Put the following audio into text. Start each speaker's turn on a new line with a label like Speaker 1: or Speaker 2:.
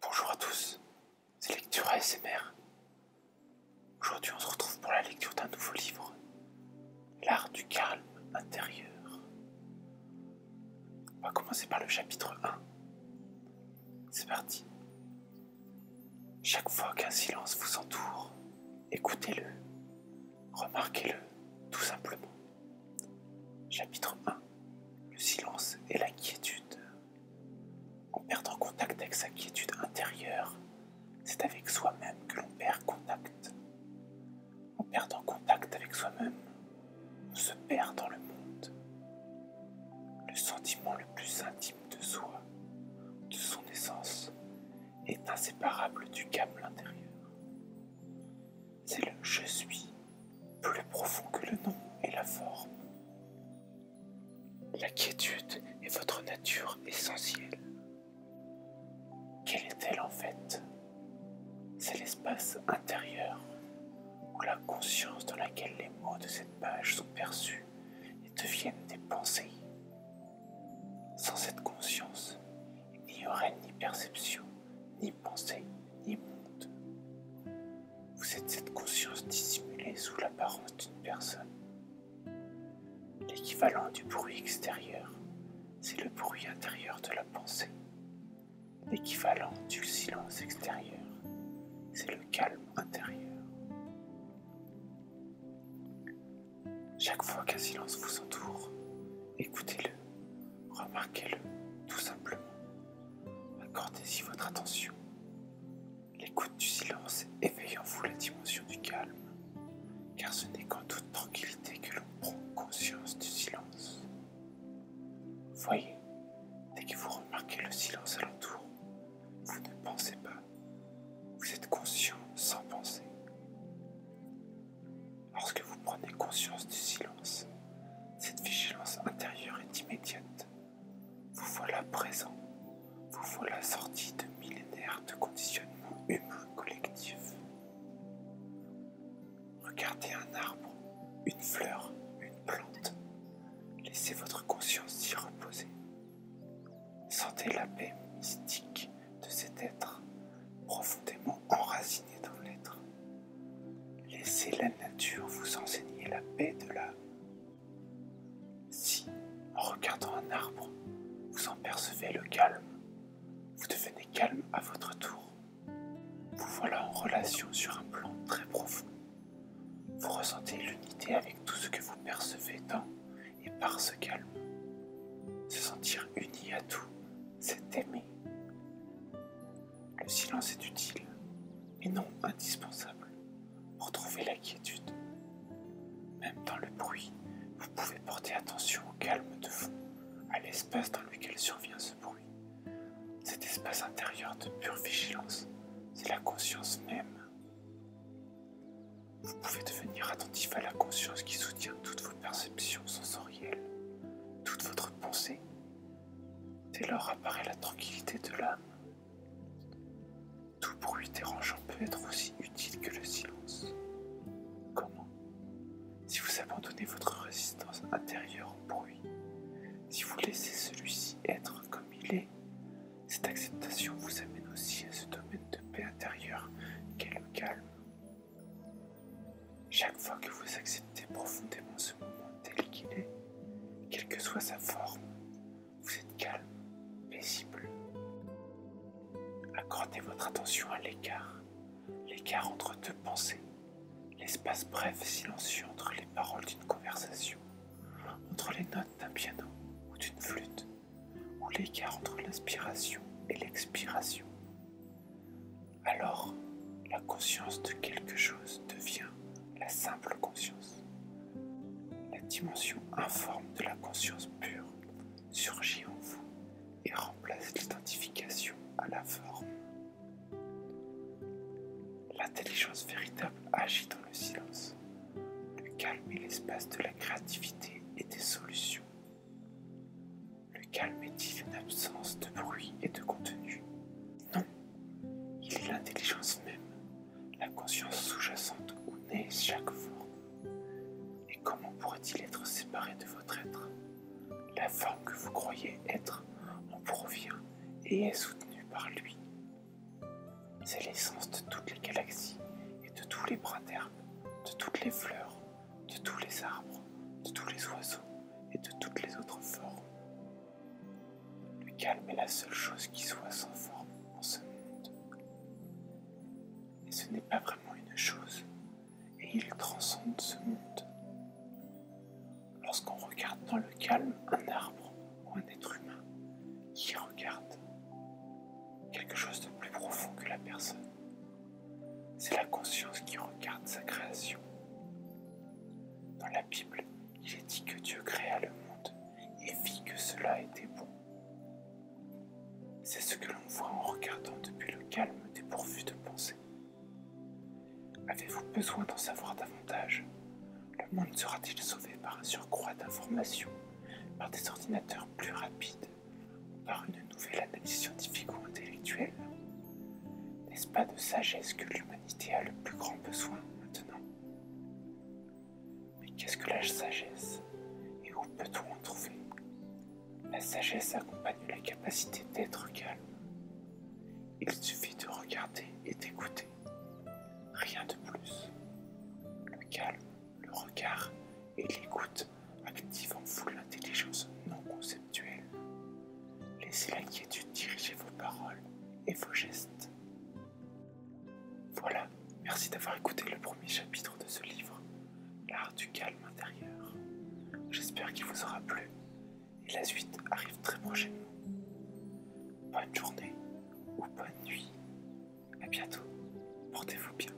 Speaker 1: Bonjour à tous, c'est Lecture ASMR. Aujourd'hui, on se retrouve pour la lecture d'un nouveau livre, L'art du calme intérieur. On va commencer par le chapitre 1. C'est parti. Chaque fois qu'un silence vous entoure, écoutez-le Remarquez-le, tout simplement. Chapitre 1. Le silence et la quiétude. En perdant contact avec sa quiétude intérieure, c'est avec soi-même que l'on perd contact. En perdant contact avec soi-même, on se perd dans le monde. Le sentiment le plus intime de soi, de son essence, est inséparable du câble intérieur. C'est le je suis, plus profond que le nom et la forme. La quiétude est votre nature essentielle. Quelle est-elle en fait C'est l'espace intérieur ou la conscience dans laquelle les mots de cette page sont perçus et deviennent des pensées. Sans cette conscience, il n'y aurait ni perception, ni pensée, ni monde. Vous êtes cette conscience dissimulée sous l'apparence d'une personne. L'équivalent du bruit extérieur, c'est le bruit intérieur de la pensée. L'équivalent du silence extérieur, c'est le calme intérieur Chaque fois qu'un silence vous entoure, écoutez-le, remarquez-le tout simplement. Accordez-y votre attention. L'écoute du silence éveille en vous la dimension du calme, car ce n'est qu'en toute tranquillité que l'on prend conscience du silence. Voyez, dès que vous remarquez le silence alentour, vous ne pensez pas. Vous êtes conscient sans penser. Lorsque vous prenez conscience du silence, cette vigilance intérieure est immédiate. Vous voilà présent. Vous voilà sorti de millénaires de conditionnement humain collectif. Regardez un arbre, une fleur, une plante. Laissez votre conscience s'y reposer. Sentez la paix mystique de cet être, profondément enraciné dans l'être. Laissez la nature vous enseigner la paix de l'âme. Si, en regardant un arbre, vous en percevez le calme, vous devenez calme à votre tour. Vous voilà en relation sur un plan très profond. Vous ressentez l'unité avec tout ce que vous percevez dans et par ce calme. Se sentir uni à tout, c'est aimer. Le silence est utile, et non indispensable, pour trouver la quiétude. Même dans le bruit, vous pouvez porter attention au calme de fond, à l'espace dans lequel survient ce bruit. Cet espace intérieur de pure vigilance, c'est la conscience même. Vous pouvez devenir attentif à la conscience qui soutient toutes vos perceptions sensorielles, toute votre pensée. Dès lors apparaît la tranquillité de l'âme. Tout bruit dérangeant peut être aussi utile que le silence. Comment si vous abandonnez votre résistance intérieure au bruit, si vous laissez celui-ci être comme il est, cette acceptation vous amène aussi à ce domaine de paix intérieure qu'est le calme. Chaque fois que vous acceptez profondément ce moment tel qu'il est, quelle que soit sa forme, vous êtes calme, paisible. Accordez votre attention à l'écart, l'écart entre deux pensées, l'espace bref et silencieux entre les paroles d'une conversation, entre les notes d'un piano ou d'une flûte, ou l'écart entre l'inspiration et l'expiration. Alors, la conscience de quelque chose devient la simple conscience. La dimension informe de la conscience pure surgit en vous et remplace l'identification à la forme. L'intelligence véritable agit dans le silence, le calme est l'espace de la créativité et des solutions. Le calme est-il une absence de bruit et de contenu Non, il est l'intelligence même la conscience sous-jacente où naît chaque forme. Et comment pourrait-il être séparé de votre être La forme que vous croyez être en provient et est soutenue par lui. C'est l'essence de toutes les galaxies et de tous les bras de toutes les fleurs, de tous les arbres, de tous les oiseaux et de toutes les autres formes. Le calme est la seule chose qui soit sans forme en ce monde. Et ce n'est pas vraiment une chose, et il transcende ce monde. Lorsqu'on regarde dans le calme un arbre ou un être humain qui regarde quelque chose de plus profond que la personne, c'est la conscience qui regarde sa création. Dans la Bible, il est dit que Dieu créa le monde et vit que cela était bon. C'est ce que l'on voit en regardant depuis le calme dépourvu de pensée. Avez-vous besoin d'en savoir davantage Le monde sera-t-il sauvé par un surcroît d'informations, par des ordinateurs plus rapides, ou par une nouvelle analyse scientifique ou intellectuelle N'est-ce pas de sagesse que l'humanité a le plus grand besoin maintenant mais qu'est-ce que la sagesse et où peut-on en trouver La sagesse accompagne la capacité d'être calme. Il suffit de regarder et d'écouter. Rien de plus. Le calme, le regard et l'écoute activent en vous l'intelligence non consciente. Laissez l'inquiétude diriger vos paroles et vos gestes. Voilà, merci d'avoir écouté le premier chapitre de ce livre, L'art du calme intérieur. J'espère qu'il vous aura plu et la suite arrive très prochainement. Bonne journée ou bonne nuit. À bientôt. Portez-vous bien.